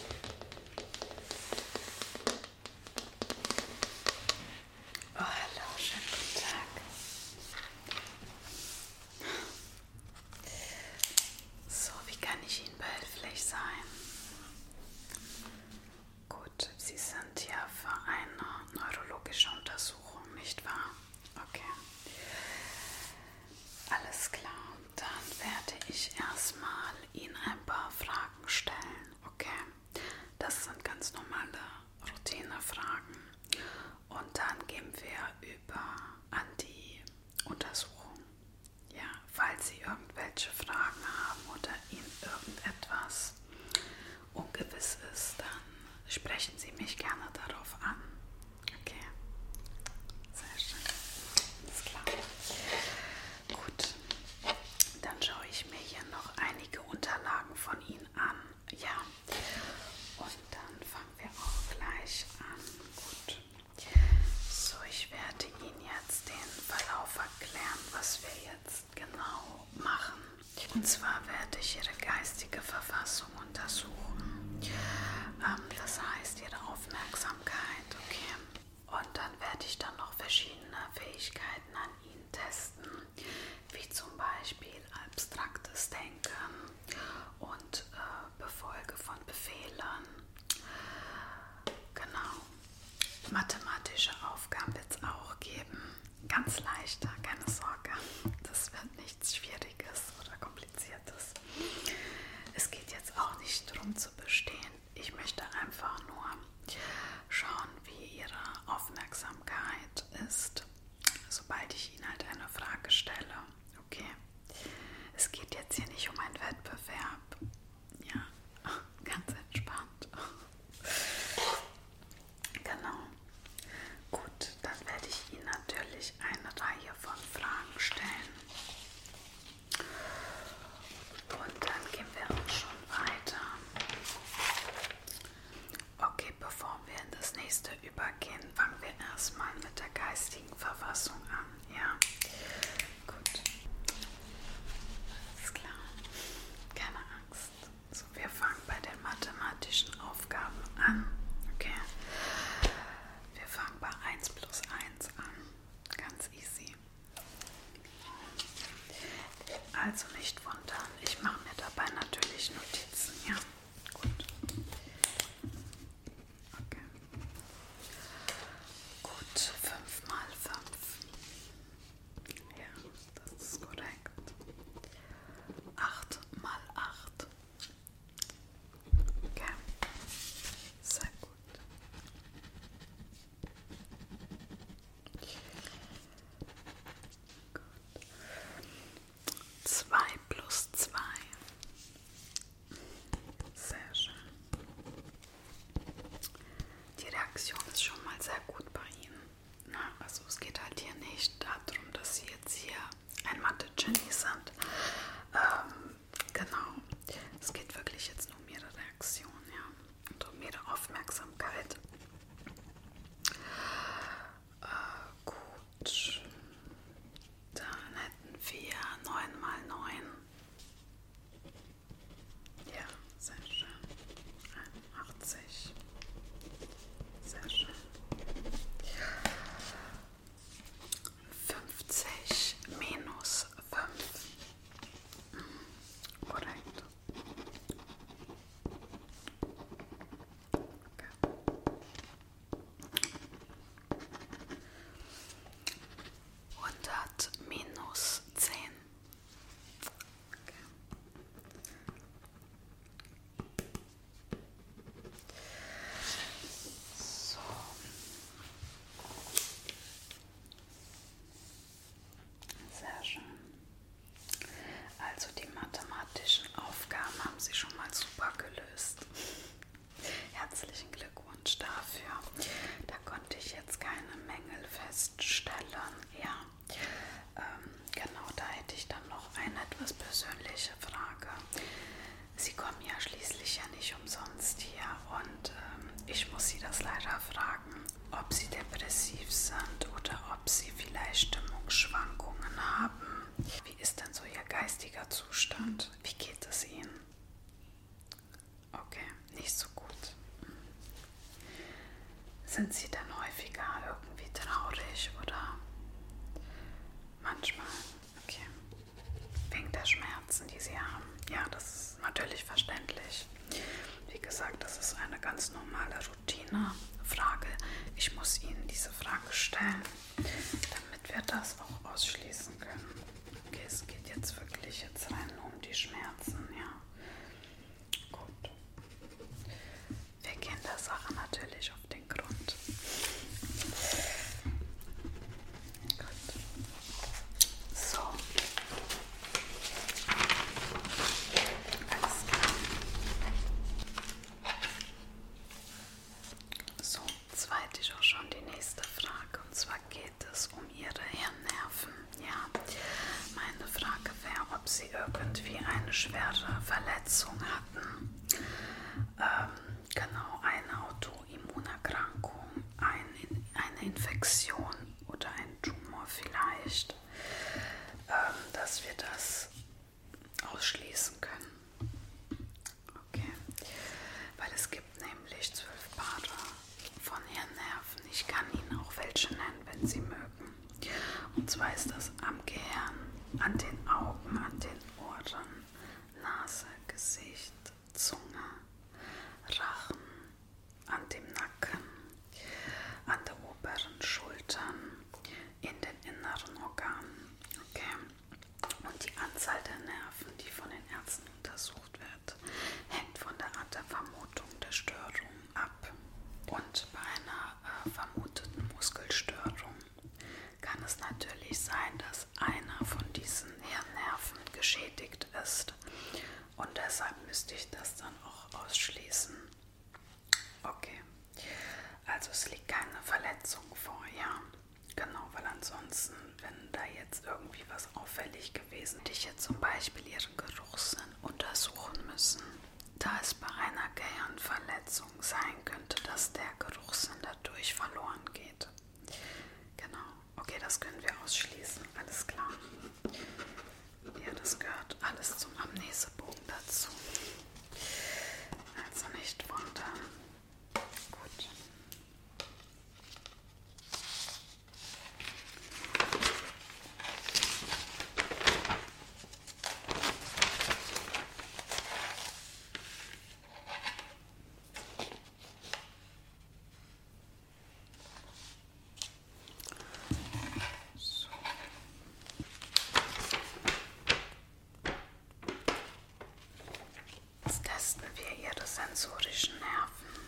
Oh, hallo, schönen guten Tag. So, wie kann ich Ihnen behilflich sein? Gut, Sie sind ja für eine neurologische Untersuchung, nicht wahr? Okay. Alles klar dann werde ich erstmal Ihnen ein paar Fragen stellen, okay? Das sind ganz normale Routinefragen. Und dann gehen wir über an die Untersuchung. Ja, falls Sie irgendwelche Fragen haben oder Ihnen irgendetwas ungewiss ist, dann sprechen Sie mich gerne darauf an. Okay. Sehr schön. Alles klar. Gut. Dann schaue ich mir hier noch einige Unterlagen von Ihnen an. Ja. Und dann fangen wir auch gleich an. Gut. So, ich werde Ihnen jetzt den Verlauf erklären, was wir jetzt genau machen. Und zwar werde ich Ihre geistige Verfassung untersuchen. Ähm, das heißt, Ihre Aufmerksamkeit, okay? Und dann werde ich dann noch verschiedene Fähigkeiten an Ihnen testen, wie zum Beispiel abstraktes Denken und äh, Befolge von Befehlen. Genau. Mathematische Aufgaben wird es auch geben. Ganz leichter, keine Sorge. Das wird nichts Schwieriges oder kompliziertes kompliziertes. Es geht jetzt auch nicht darum zu bestehen. Ich möchte einfach nur schauen, wie Ihre Aufmerksamkeit ist, sobald ich Ihnen halt eine Frage stelle. Okay. Es geht jetzt hier nicht um einen Wettbewerb. Ja, ganz entspannt. Genau. Gut, dann werde ich Ihnen natürlich eine Reihe von Fragen stellen. Und dann gehen wir auch schon weiter. Okay, bevor wir in das nächste übergehen, fangen wir erstmal mit der geistigen Verfassung an. Ja, gut. Alles klar. Keine Angst. So, wir fangen bei den mathematischen Aufgaben an. Okay. Wir fangen bei 1 plus 1 an. Ganz easy. Also nicht wundern. Ich mache mir dabei natürlich Notizen. Ja, gut. Okay. Gut, 5 mal 5. Ja, das ist korrekt. 8 mal 8. Okay. Sehr gut. Gut. 2 plus 2. Sehr schön. Die Reaktion ist schon mal sehr gut bei Ihnen. Na, also es geht halt hier nicht darum, dass Sie jetzt hier ein Mathe-Genie sind. Ähm, Genau. Es geht wirklich jetzt nur um ihre Reaktion, ja. Und um ihre Aufmerksamkeit. Äh, gut. Dann hätten wir 9 mal 9. Ja, sehr schön. 81. Sehr schön. 50 minus 5. Mm, korrekt. Okay. minus zehn. So. Sehr schön. Also die mathematischen Aufgaben haben Sie schon mal super gelöst. Herzlichen Glückwunsch dafür. Da konnte ich jetzt keine Mängel feststellen. Ja, ähm, genau, da hätte ich dann noch eine etwas persönliche Frage. Sie kommen ja schließlich ja nicht umsonst hier und ähm, ich muss Sie das leider fragen, ob Sie depressiv sind oder ob Sie vielleicht Stimmungsschwankungen haben. Wie ist denn so Ihr geistiger Zustand? Wie geht es Ihnen? Okay, nicht so gut. Hm. Sind Sie denn häufiger irgendwie traurig oder manchmal? Okay. Wegen der Schmerzen, die Sie haben. Ja, das ist natürlich verständlich. Wie gesagt, das ist eine ganz normale Routine-Frage. Ich muss Ihnen diese Frage stellen, damit wir das auch ausschließen können. Okay, es geht jetzt wirklich jetzt rein nur um die Schmerzen, ja. Gut. Wir gehen der Sache natürlich auf auf den Grund. Gut. So. Alles klar. So, zweit ist auch schon die nächste Frage. Und zwar geht es um Ihre Hirnnerven. Ja, meine Frage wäre, ob Sie irgendwie eine schwere Verletzung hatten. Ähm, Genau, eine Autoimmunerkrankung, ein, eine Infektion oder ein Tumor vielleicht, ähm, dass wir das ausschließen können. Okay, weil es gibt nämlich zwölf Paare von Hirnnerven. Ich kann Ihnen auch welche nennen, wenn Sie mögen. Und zwar ist das am Gehirn, an den Augen, an den Ohren, Nase, Gesicht, Zunge, Rachen, an dem Nacken, an der oberen Schultern, in den inneren Organen. Okay. Und die Anzahl der Nerven, die von den Ärzten untersucht wird, hängt von der Art der Vermutung der Störung ab. Und bei einer äh, vermuteten Muskelstörung kann es natürlich sein, dass einer von diesen Hirnnerven geschädigt ist. Und deshalb müsste ich das dann auch ausschließen. Okay. Also es liegt keine Verletzung vor, ja. Genau, weil ansonsten, wenn da jetzt irgendwie was auffällig gewesen, hätte ich jetzt zum Beispiel ihren Geruchssinn untersuchen müssen. Da es bei einer Gehirnverletzung Lösung sein könnte, dass der Geruchssinn dadurch verloren geht. Genau. Okay, das können wir ausschließen. Alles klar. Ja, das gehört alles zum Amnesebogen dazu. Also nicht wundern. Gut. Jetzt testen wir ihre sensorischen Nerven.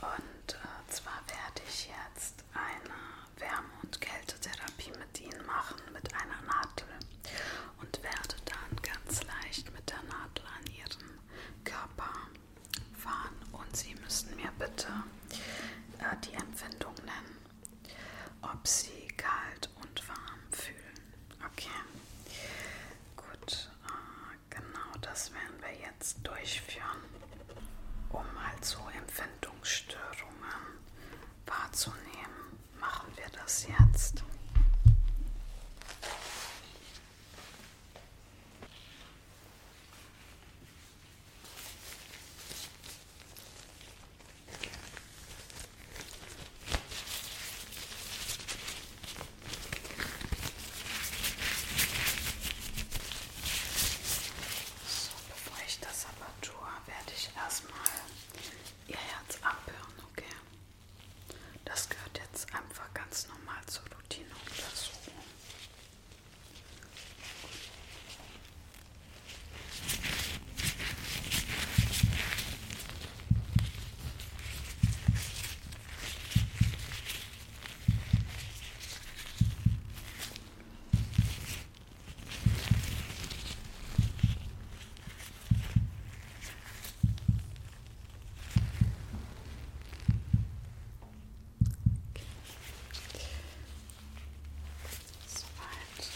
Und äh, zwar werde ich jetzt eine Wärme- und Kältetherapie mit ihnen machen mit einer Nadel und werde dann ganz leicht mit der Nadel an ihren Körper fahren. Und Sie müssen mir bitte äh, die Empfindung nennen, ob Sie kalt und warm fühlen. Okay, gut, äh, genau das werden wir jetzt durchführen, um mal so Empfindungsstörungen wahrzunehmen machen wir das jetzt. So, bevor ich das aber tue, werde ich erstmal ihr Herz abhören, okay? Das gehört jetzt einfach ganz normal zur Routineuntersuchung. Soweit.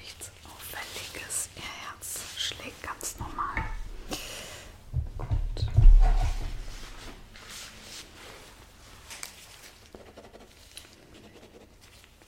Nichts Auffälliges. Ihr Herz schlägt ganz normal. Gut.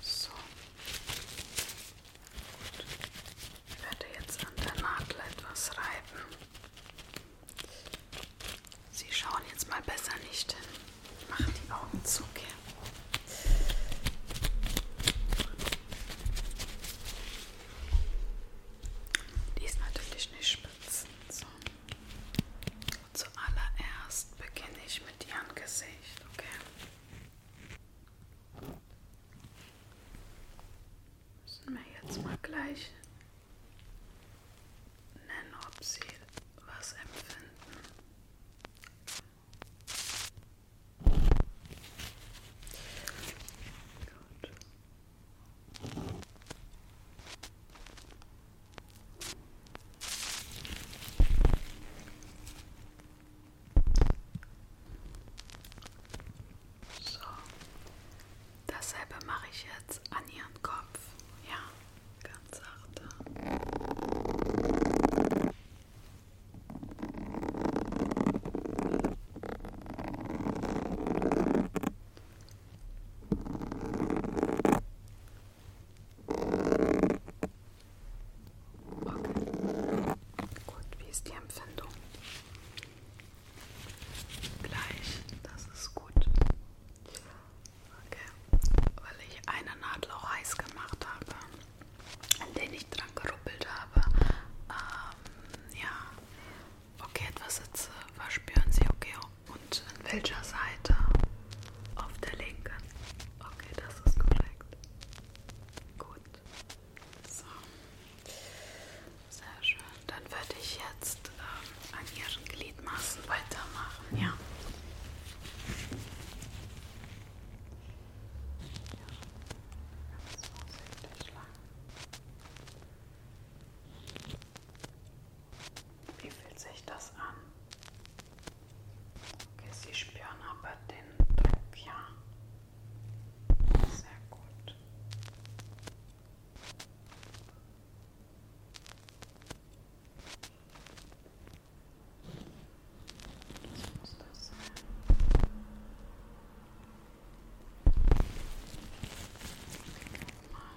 So. Gut. Ich werde jetzt an der Nadel etwas reiben. Sie schauen jetzt mal besser nicht hin. Mach die Augen zu, okay? Die ist natürlich nicht spitz. So. Zuallererst beginne ich mit ihrem Gesicht, okay? Müssen wir jetzt mal gleich nennen, ob sie was empfinden. Gut. So. Dasselbe mache ich jetzt an ihren Kopf. Ja, ganz sachte. Okay. Gut, wie ist die Empfindung? Gleich, das ist gut. Okay, weil ich eine Nadel auch heiß gemacht habe, an den ich dran geruppelt habe. Ähm, ja, okay, etwas Hitze äh, verspüren Sie, okay, und an welcher Seite? Auf der linken. Okay, das ist korrekt. Gut. So. Sehr schön. Dann werde ich jetzt ähm, an Ihren Gliedmaßen weitermachen, ja? Ja, ganz vorsichtig lang. Wie fühlt sich das an? Okay, Sie spüren aber den Druck, ja? Sehr gut. Das muss das sein. Okay, mal.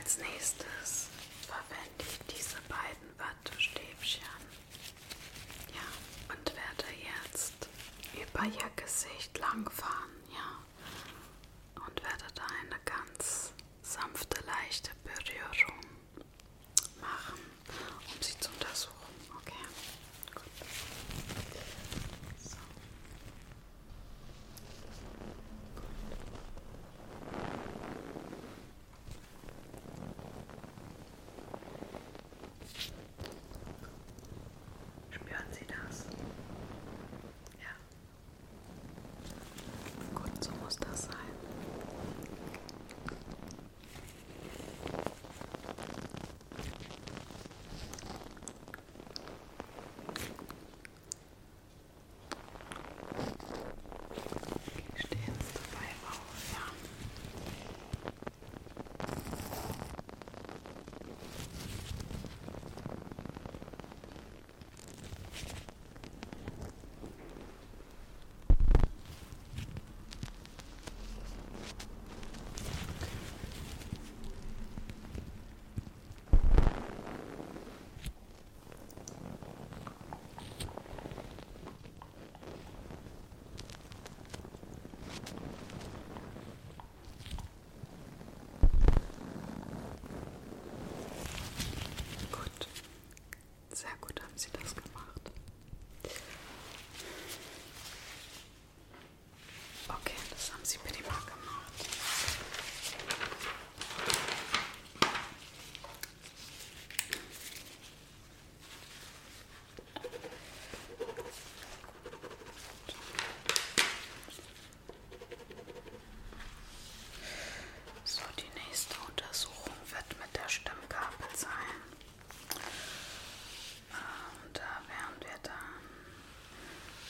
Als nächstes verwende ich diese beiden Wattestäbchen. Ja, und werde jetzt über ihr Gesicht langfahren, ja. Und werde da eine ganz sanfte, leichte Berührung machen, um sie zu untersuchen. Okay. Gut. So. Spüren Sie das? Ja. Gut, so muss das sein. Stehen Sie dabei auf, ja. Gut, sehr gut haben Sie das gemacht. Okay, das haben Sie prima gemacht. So, die nächste Untersuchung wird mit der Stimmgabel sein. Und ähm, da wären wir dann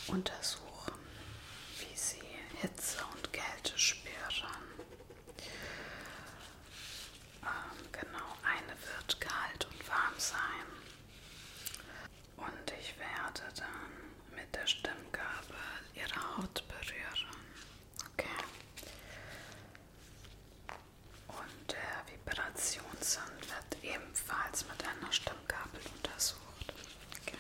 untersuchen, wie sie Hitze und Kälte spüren. Ähm, genau, eine wird kalt und warm sein. Und ich werde dann mit der Stimmgabel ihre Haut berühren. Okay. Und der Vibrationssinn wird ebenfalls mit einer Stimmgabel untersucht. Okay.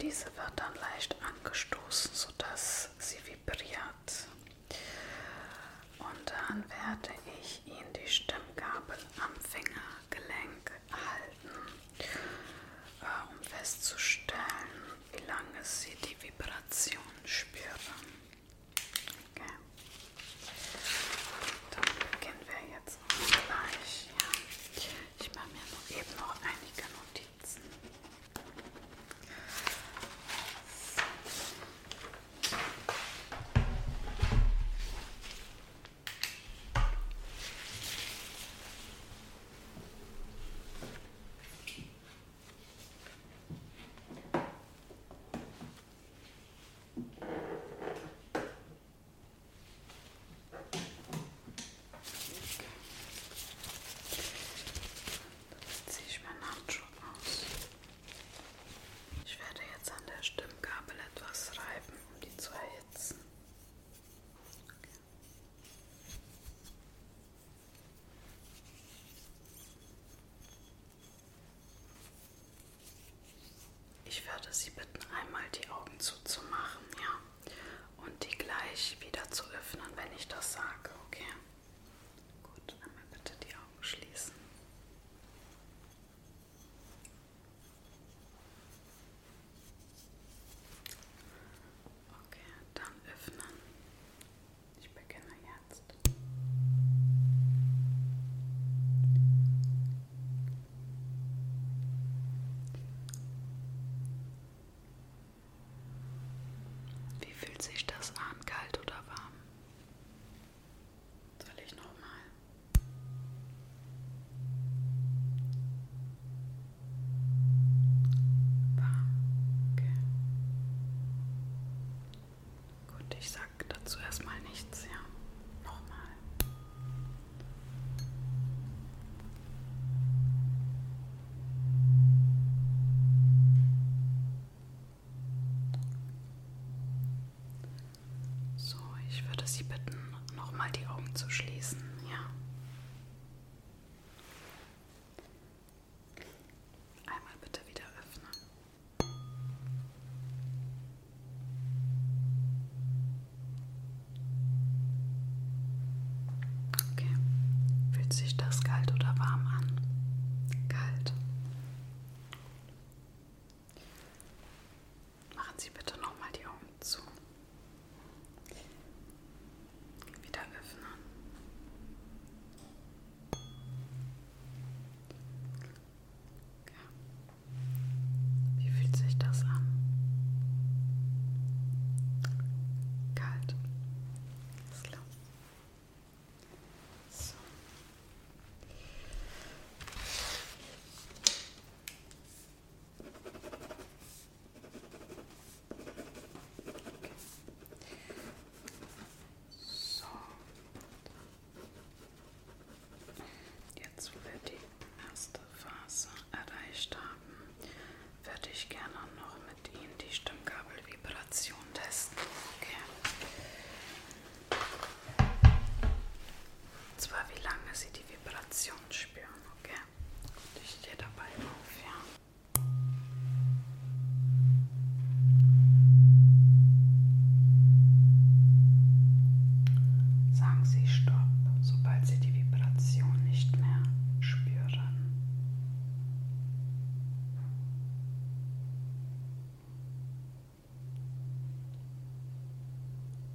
Diese wird dann leicht angestoßen, sodass sie vibriert. Und dann werde ich Ihnen die Stimmgabel am Fingergelenk halten, äh, um festzustellen, wie lange Sie die Vibration spüren. Okay. Dann beginnen wir jetzt ganz gleich. Ja. Ich mache mir noch eben noch einige Notizen. So. Jetzt ziehe ich meinen Handschuh aus. Ich werde jetzt an der Stimmgabel etwas reiben, um die zu erhitzen. Okay. Ich würde Sie bitten, einmal die Augen zuzumachen, ja. Und die gleich wieder zu öffnen, wenn ich das sage, okay? Gut, einmal bitte die Augen schließen. Okay, dann öffnen. Ich beginne jetzt. Wie fühlt sich das an, kalt oder warm? Soll ich nochmal? Warm, okay. Gut, ich sag dazu erstmal nichts, ja. Nochmal. So, ich würde Sie bitten, nochmal die Augen zu schließen. Ja. Einmal bitte wieder öffnen. Okay. Fühlt sich das kalt oder warm an? Kalt. Machen Sie bitte nochmal die Augen zu. Wieder öffnen. Ja. Wie fühlt sich das an? Kalt. Ist klar. So. Okay. So, Jetzt, wo wir die erste Phase erreicht haben, würde ich gerne noch mit Ihnen die Stimmgabelvibration testen. Okay. Und zwar, wie lange Sie die Vibration spüren. Okay. Und ich stehe dabei auf, ja. Sagen Sie Stopp, sobald Sie die Vibration nicht mehr spüren.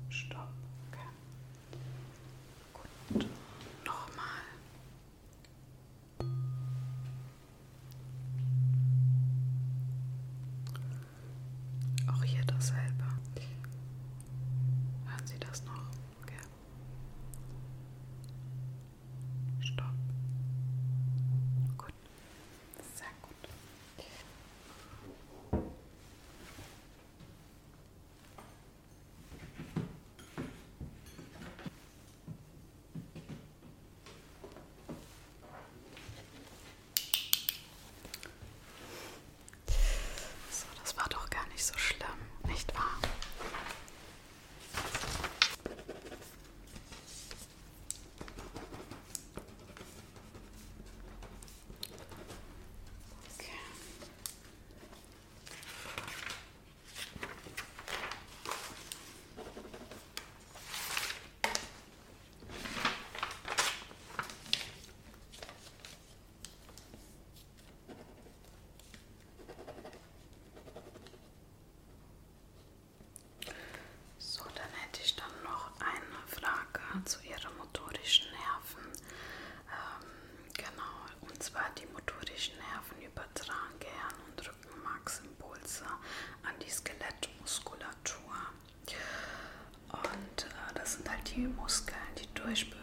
Stopp. Okay. Gut. Nochmal. Auch hier dasselbe. Hören Sie das noch? Okay. Stopp. Gut. Sehr gut. So, das war doch gar nicht so schlimm, nicht wahr? Okay. So, dann hätte ich dann noch eine Frage zu Ihren motorischen Nerven. Ähm, genau, und zwar die motorischen Nerven übertragen Gehirn- und Rückenmarksimpulse an die Skelettmuskulatur. Und äh, das sind halt die Muskeln, die durch be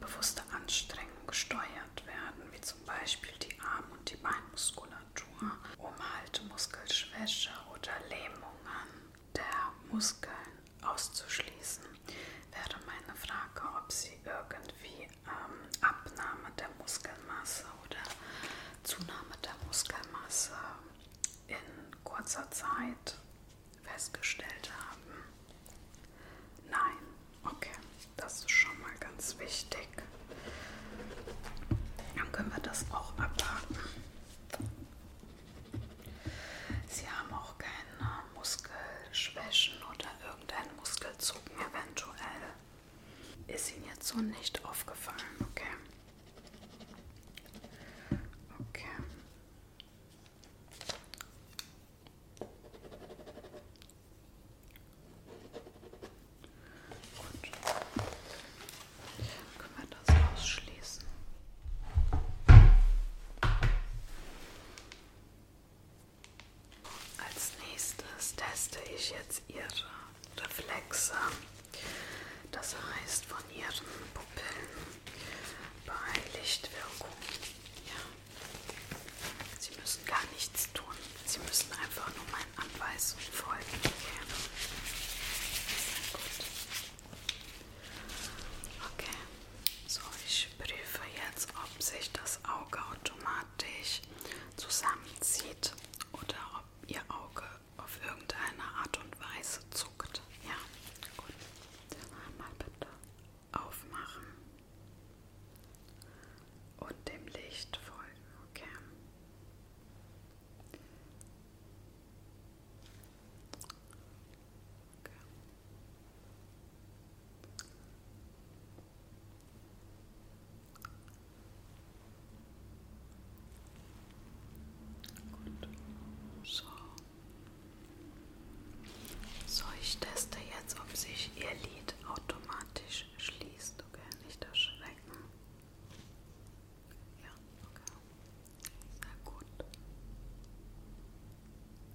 bewusste Anstrengung gesteuert werden, wie zum Beispiel die Arm- und die Beinmuskulatur, um halt Muskelschwäche oder Lähmungen der Muskeln auszuschließen. Wäre meine Frage, ob Sie irgendwie ähm, Abnahme der Muskelmasse oder Zunahme der Muskelmasse in kurzer Zeit festgestellt haben. Nein, okay, das ist schon mal ganz wichtig. Dann können wir das auch abhaken. Sie haben auch keine Muskelschwächen oder irgendeinen Muskelzucken eventuell. Ist Ihnen jetzt so nicht aufgefallen, okay? Okay. Gut. Können wir das ausschließen? Als nächstes teste ich jetzt Ihre Reflexe. Das heißt von ihren Pupillen bei Lichtwirkung. Ja. Sie müssen gar nichts tun. Sie müssen einfach nur meinen Anweisungen folgen. Okay. Sehr gut. Okay. So, ich prüfe jetzt, ob sich das Auge automatisch zusammenzieht oder ob ihr Auge auf irgendeine Art und Weise zuckt. Ja, gut. Dann mal bitte aufmachen und dem Licht folgen, okay? okay. Gut. So. so, ich teste jetzt, ob sich Ihr Lied automatisch schließt. Okay, nicht erschrecken. Ja, okay. Sehr gut.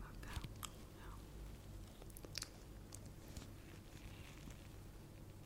Okay, ja.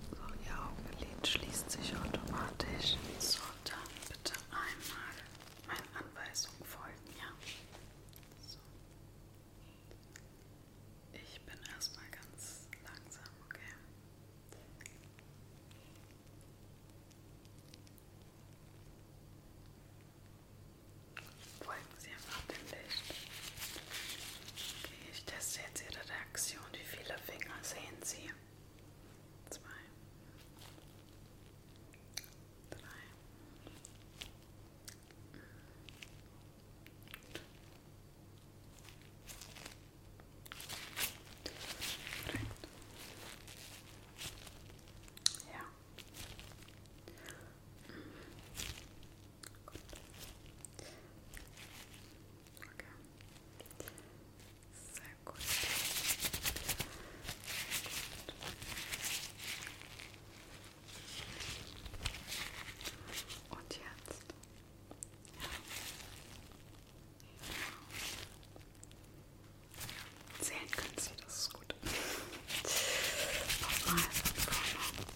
So, Ihr Augenlid schließt sich automatisch. So, dann bitte einmal meinen Anweisungen folgen, ja? So. Ich bin erstmal ganz langsam, okay? Folgen Sie einfach dem Licht. Okay, ich teste jetzt Ihre Reaktion. Wie viele Finger sehen Sie? Zwei. Drei. Drei. Ja. Gut. Okay. Sehr gut. Sehr gut. Und jetzt? Ja. Zählen können Sie, das ist gut. Nochmal von vorne.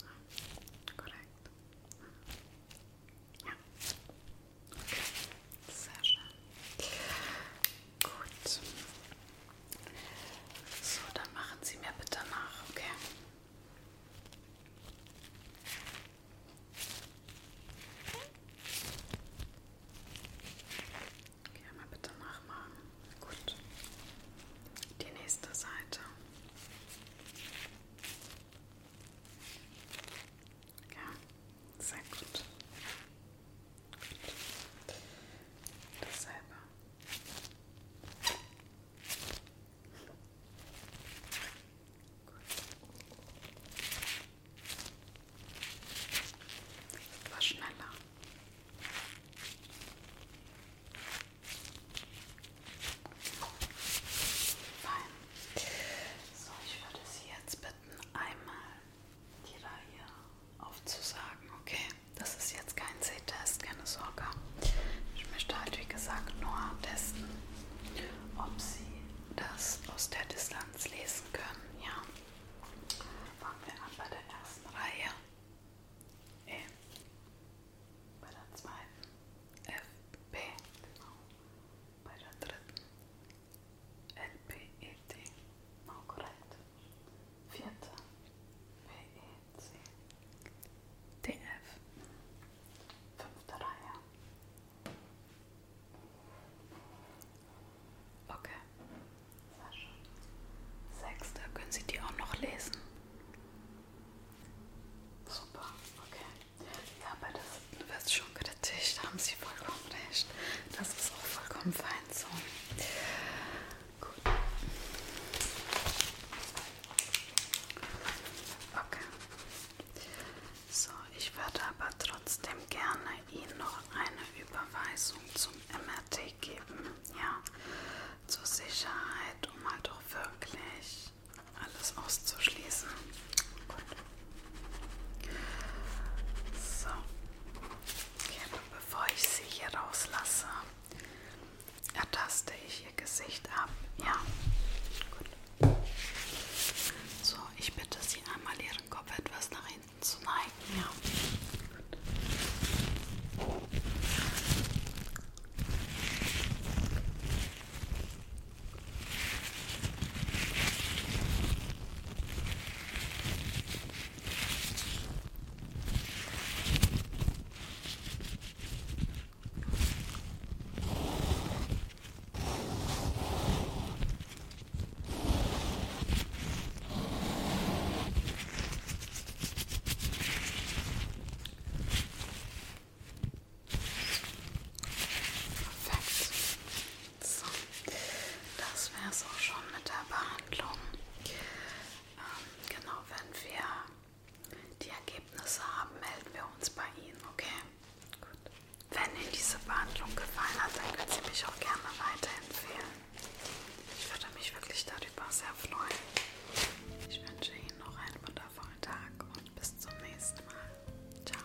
Ja, korrekt. Ja. Okay. Sehr schön. Gut. So, dann machen Sie mir bitte nach, okay? Okay, mal bitte nachmachen. Gut. Die nächste Seite. Ja, sehr gut. gut. Dasselbe. Okay. Etwas schneller. Fein. So, ich würde Sie jetzt bitten, einmal die Reihe aufzusagen, okay? Das ist jetzt kein Sehtest, keine Sorge. Ich möchte halt, wie gesagt, nur testen, ob Sie das aus der Distanz lesen können. Ja. Fangen wir an bei der ersten Reihe. E. Bei der zweiten F, B, genau. Bei der dritten L, P, E, D, genau korrekt. Vierte P, E, C, D, F. Fünfte Reihe Okay. War schon. Sechster. Können Sie die auch noch lesen? Super, okay. Ja, aber das wird schon kritisch. Da haben Sie vollkommen recht. Das ist auch vollkommen fein so. Gut. Okay. So, ich würde aber trotzdem gerne Ihnen noch eine Überweisung zum MRT geben, ja, zur Sicherheit, um halt auch wirklich alles auszuschließen. Gut. So, okay, bevor ich Sie hier rauslasse, ertaste ich Ihr Gesicht ab, ja. Gut. So, ich bitte Sie einmal Ihren Kopf etwas nach hinten zu neigen. Ja. Perfekt. So, das wäre es auch schon mit der Behandlung. Ähm, genau, wenn wir die Ergebnisse haben, melden wir uns bei Ihnen, okay? Gut. Wenn Ihnen diese Behandlung gefallen hat, dann können Sie mich auch gerne weiterempfehlen. Ich würde mich wirklich darüber sehr freuen. Ich wünsche Ihnen noch einen wundervollen Tag und bis zum nächsten Mal. Ciao.